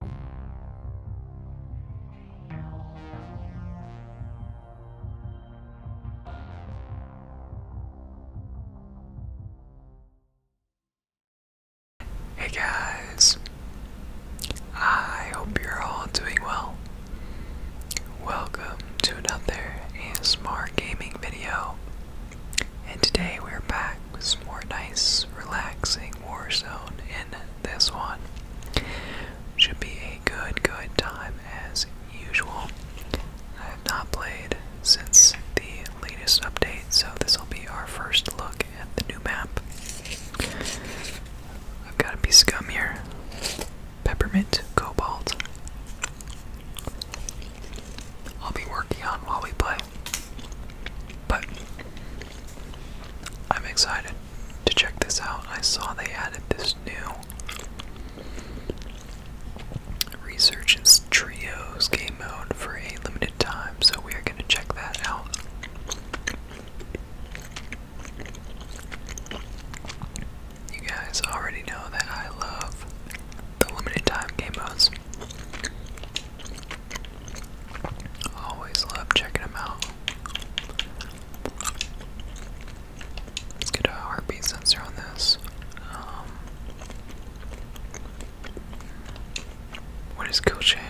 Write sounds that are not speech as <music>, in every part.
Hey guys, I hope you're all doing well. Welcome to another ASMR gaming video, and today we're back with some more nice, relaxing Warzone in this one. Should be a good, good time as usual. I have not played since the latest update, so this will be our first look at the new map. I've got a piece of gum here. Peppermint Cobalt. I'll be working on while we play. But I'm excited to check this out. I saw they added this new Resurgence Trios game mode for a limited time, so we are going to check that out. You guys already know that I love the limited time game modes. Always love checking them out. Let's get a heartbeat sensor on this. Um, what is kill Okay.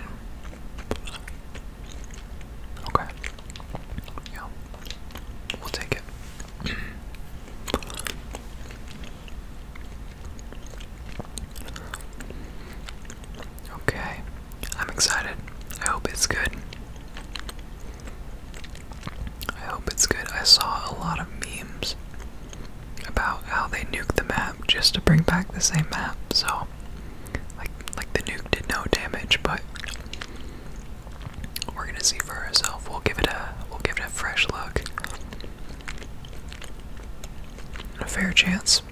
Yeah. We'll take it. Okay, I'm excited. I hope it's good. I hope it's good. I saw a lot of memes about how they nuked the map just to bring back the same map. So, like, like the nuke did no damage, but we're gonna see for ourselves. We'll give it a, we'll give it a fresh look. A fair chance.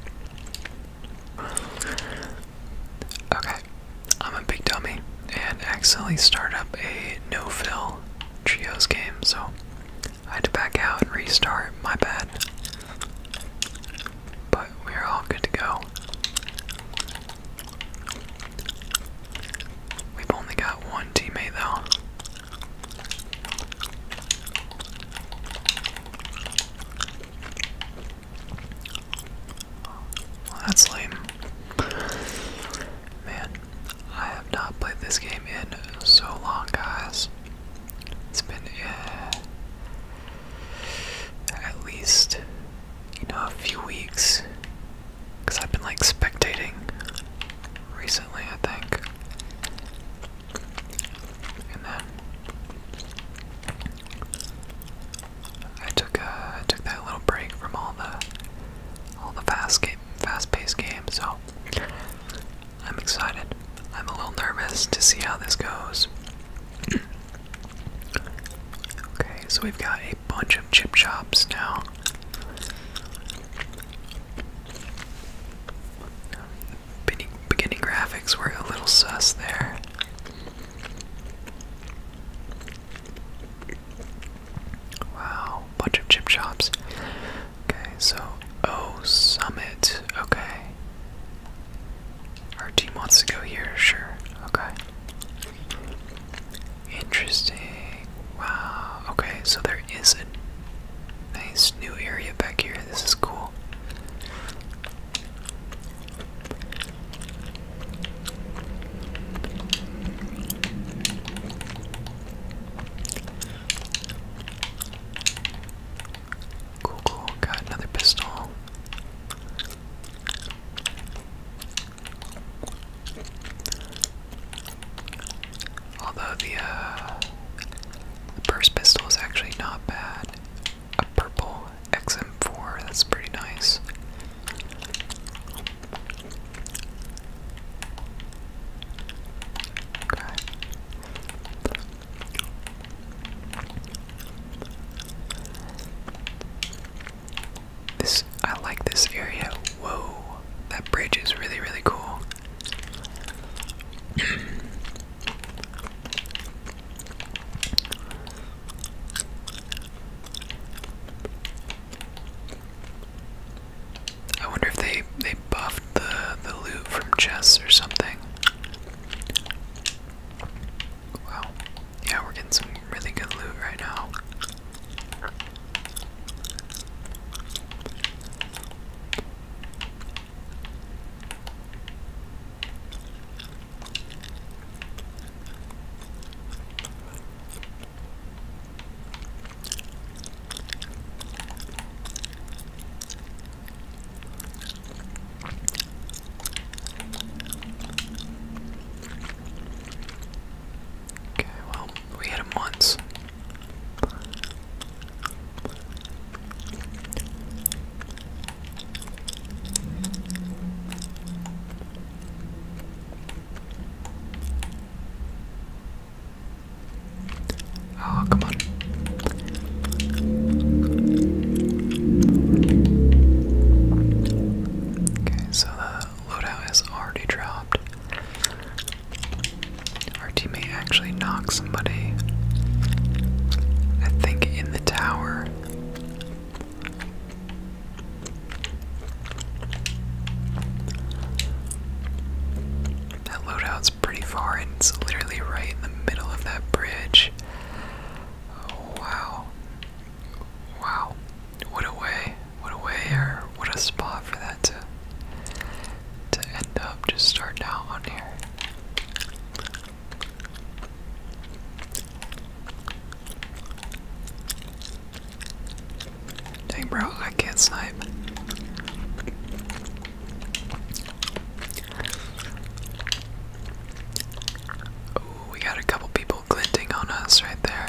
Okay, I'm a big dummy and accidentally start up a no fill trios game, so I had to back out and restart. My bad. But we're all good to go. We've only got one teammate though that's lame. Man, I have not played this game in so long, guys. It's been eh, at least, you know, a few weeks. Because I've been like spectating recently, I think. And then I took uh, took that little break from all the all the fast game fast-paced game, so I'm excited. I'm a little nervous to see how this goes. <clears throat> okay, so we've got a bunch of chip shops now beginning graphics were a little sus there. Wow, bunch of chip shops. Okay, so oh summit. Okay. Our team wants to go here, sure. Okay. Interesting. Wow. Okay, so there is a nice this new area back here. This is cool. Cool, cool. Got another pistol. Although the, uh, pistol is actually not bad a purple XM4. That's pretty nice. This I like this area. Whoa, that bridge is really really cool. <clears throat> I wonder if they they buffed the the loot from chests or something. Wow. Yeah, we're getting some really good loot right now. Okay, well, we hit him once. Oh, come on. Okay, so the loadout has already dropped our teammate actually knocked somebody, I think, in the tower. That loadout's pretty far, it's literally right in the middle of that bridge. wow. Wow. What a way. What a way, or what a spot for that to, to end up. Just start down on here. Dang, bro, I can't snipe. we got a couple people glinting on us right there.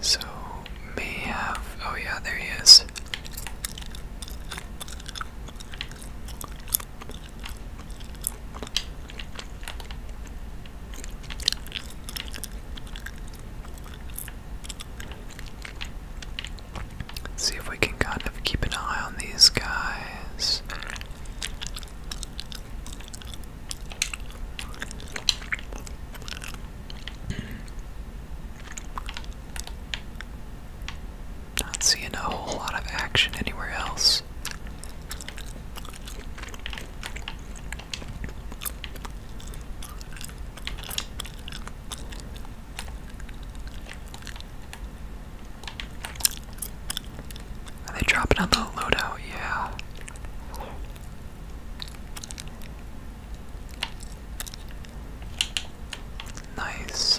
so may have. Oh, yeah, there he is. see if we can kind of keep an eye on these guys. Not seeing a whole lot of action anywhere else. Are they dropping on the loadout? Yeah. Nice.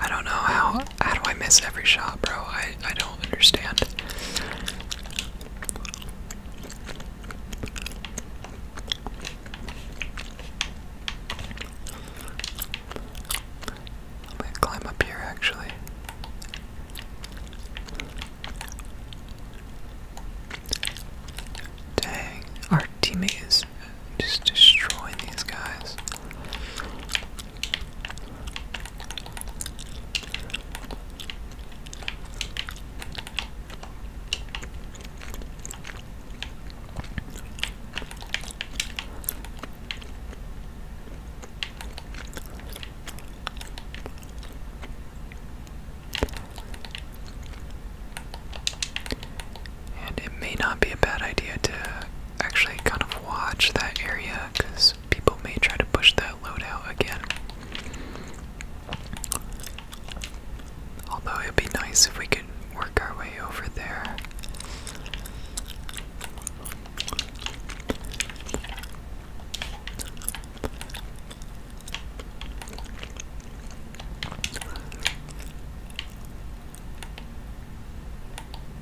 I don't know how how do I miss every shot, bro? I I don't don't understand. I'm climb up here actually. Dang, our teammate is just destroying these guys. And it may not be a bad idea to actually kind of watch that area because people may try to push that load out again. Although it'd be nice if we could work our way over there.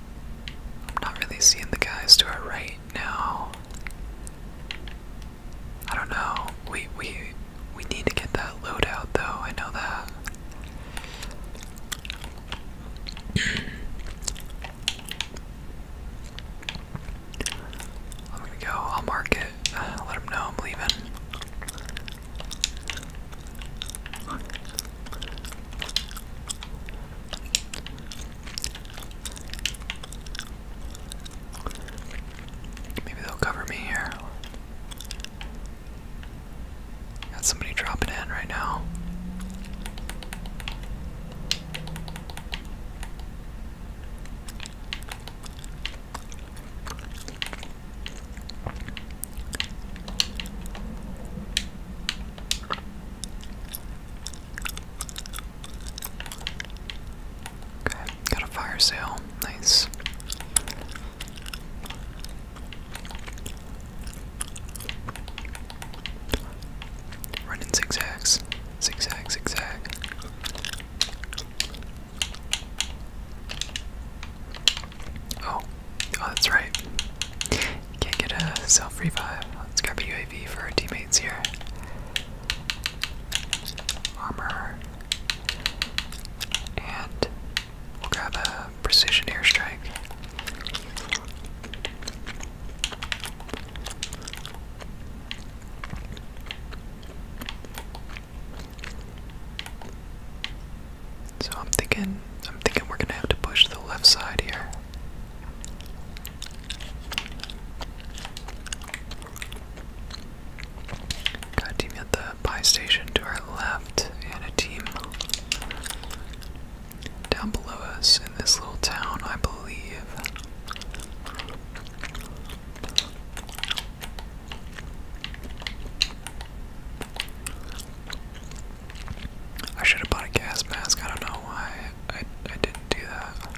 I'm not really seeing the guys to our right right I don't know. We we we need to get that load out though, I know that. <clears throat> I'm gonna go, I'll mark it. <sighs> let him know I'm leaving. Maybe they'll cover me here. Got somebody dropping in right now got a fire sale. Nice. Running zigzags. Zigzag, zigzag. Oh, oh, that's right. Can't get a self revive. Let's grab a UAV for our teammates here. Armor. And we'll grab a precision airstrike. So I'm thinking I'm thinking we're gonna have to push the left side here. Got a team at the buy station to our left, and a team down below us in this little town, I believe. I should have bought a gas mask. I don't know why I, I didn't do that.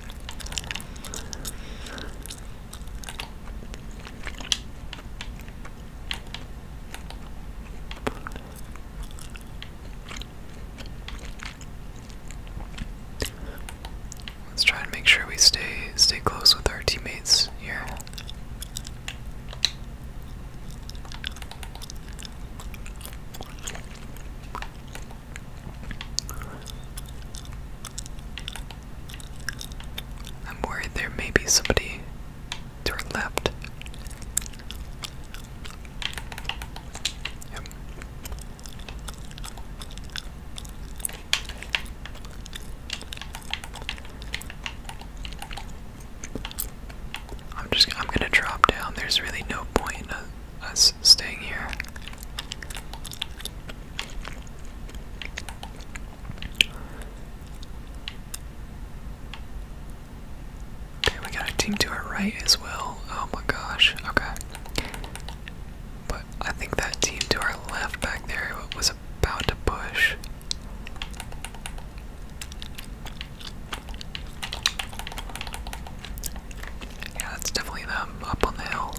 Let's try and make sure we stay stay close with our teammates here. I'm worried there may be somebody to our left. I'm just I'm gonna drop down. There's really no point us staying here. we got a team to our right as well. Oh my gosh, okay. But I think that team to our left back there was about to push. Yeah, that's definitely them up on the hill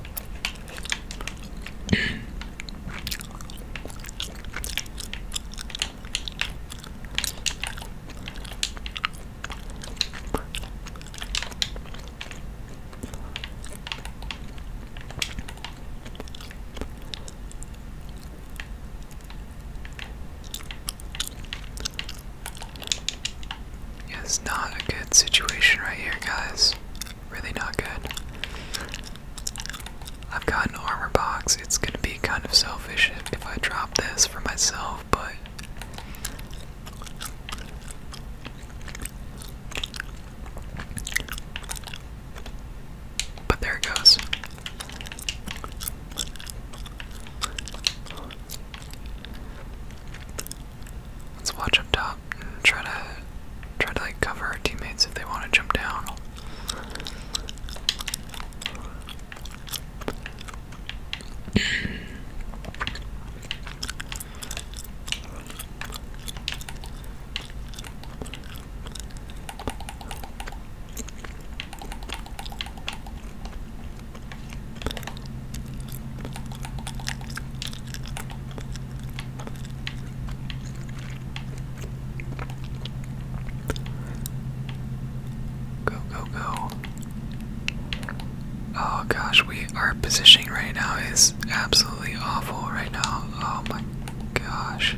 it's not a good situation right here, guys. Really not good. I've got an armor box. It's gonna be kind of selfish if I drop this for myself, but. But there it goes. Let's watch up top and try to try to like cover our teammates if they want to jump down. Go, go, go. Oh gosh, we our positioning right now is absolutely awful right now. Oh my gosh.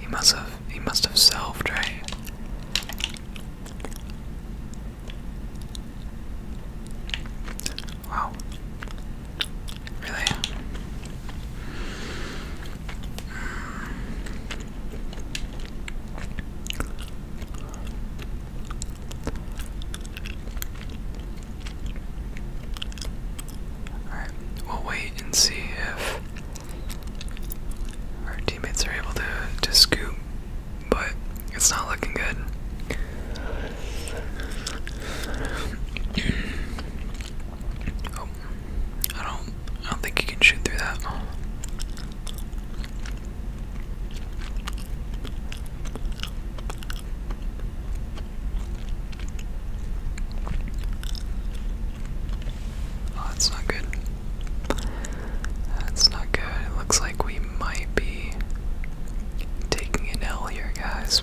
He must have he must have selfed, right? Wow. Really? Hmm. Alright, we'll wait and see if our teammates are able to, to scoop, but it's not looking good. <clears throat> Oh, I don't, I don't think you can shoot through that. Oh, that's not good. That's not good. It looks like we might be taking an L here, guys.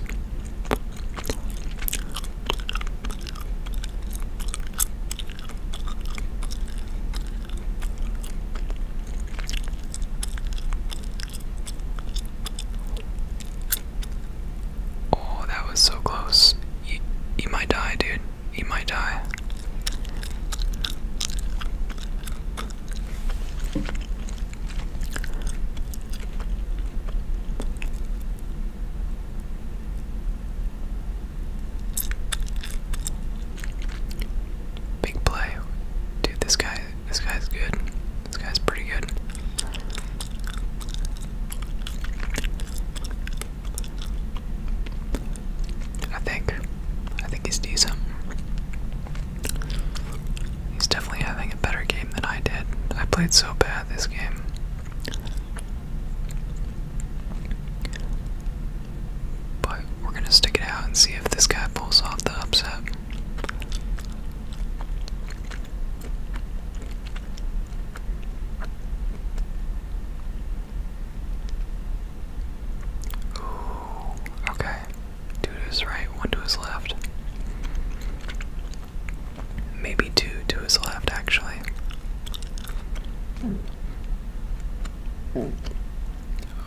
Oh, that was so close. You, you might die, dude he might die. Big play. Dude, this guy this guy's good. This guy's pretty good. I think. I think he's decent. He's definitely having a better game than I did. I played so bad this game. But we're gonna stick it out and see if this guy pulls off the upset okay. Two to his right, one to his left. Maybe two to his left, actually.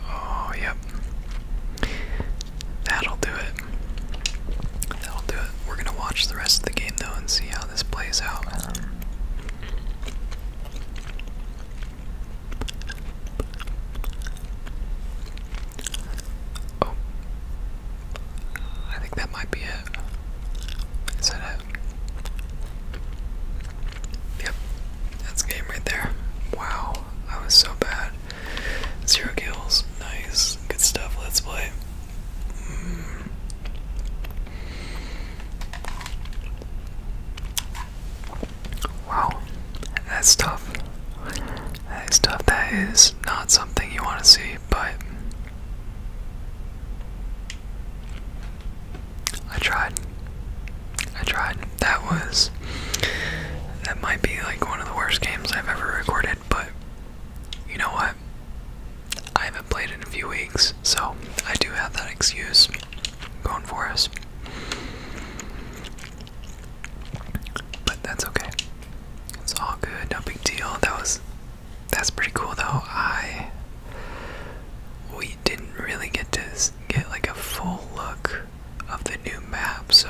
Oh, yep. That'll do it. That'll do it. We're gonna watch the rest of the game though and see how this plays out. oh, I think that might be it. Is that it? Yep, that's the game right there. Wow, I was so bad. Zero kills, nice, good stuff. Let's play. Wow, that's tough. That is tough. That is not something you want to see, but I tried. I tried. That was. That might be like one of the worst games I've ever recorded, but you know what? I haven't played in a few weeks, so I do have that excuse going for us. But that's okay. It's all good, no big deal. That was that's pretty cool though. I we didn't really get to get like a full look of the new map, so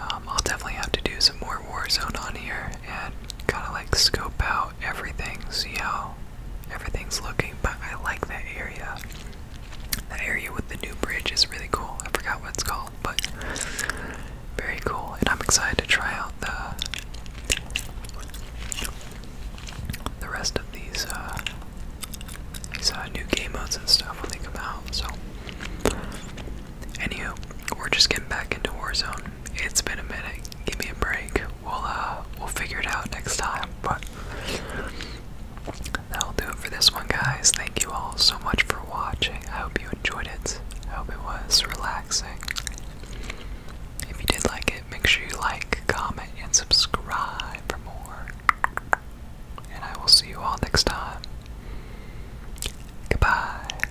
um, I'll definitely have to do some more Warzone on here and kind of like scope out out everything, see how everything's looking. But I like that area. That area with the new bridge is really cool. I forgot what it's called, but very cool. And I'm excited to try out the the rest of these uh, these uh, new game modes and stuff when they come out. So, anywho, we're just getting back into Warzone. It's been a minute, give me a break. We'll uh we'll figure it out next time. But that'll do it for this one guys. Thank you all so much for watching. I hope you enjoyed it. I hope it was relaxing. If you did like it, make sure you like, comment, and subscribe for more. And I will see you all next time. Goodbye.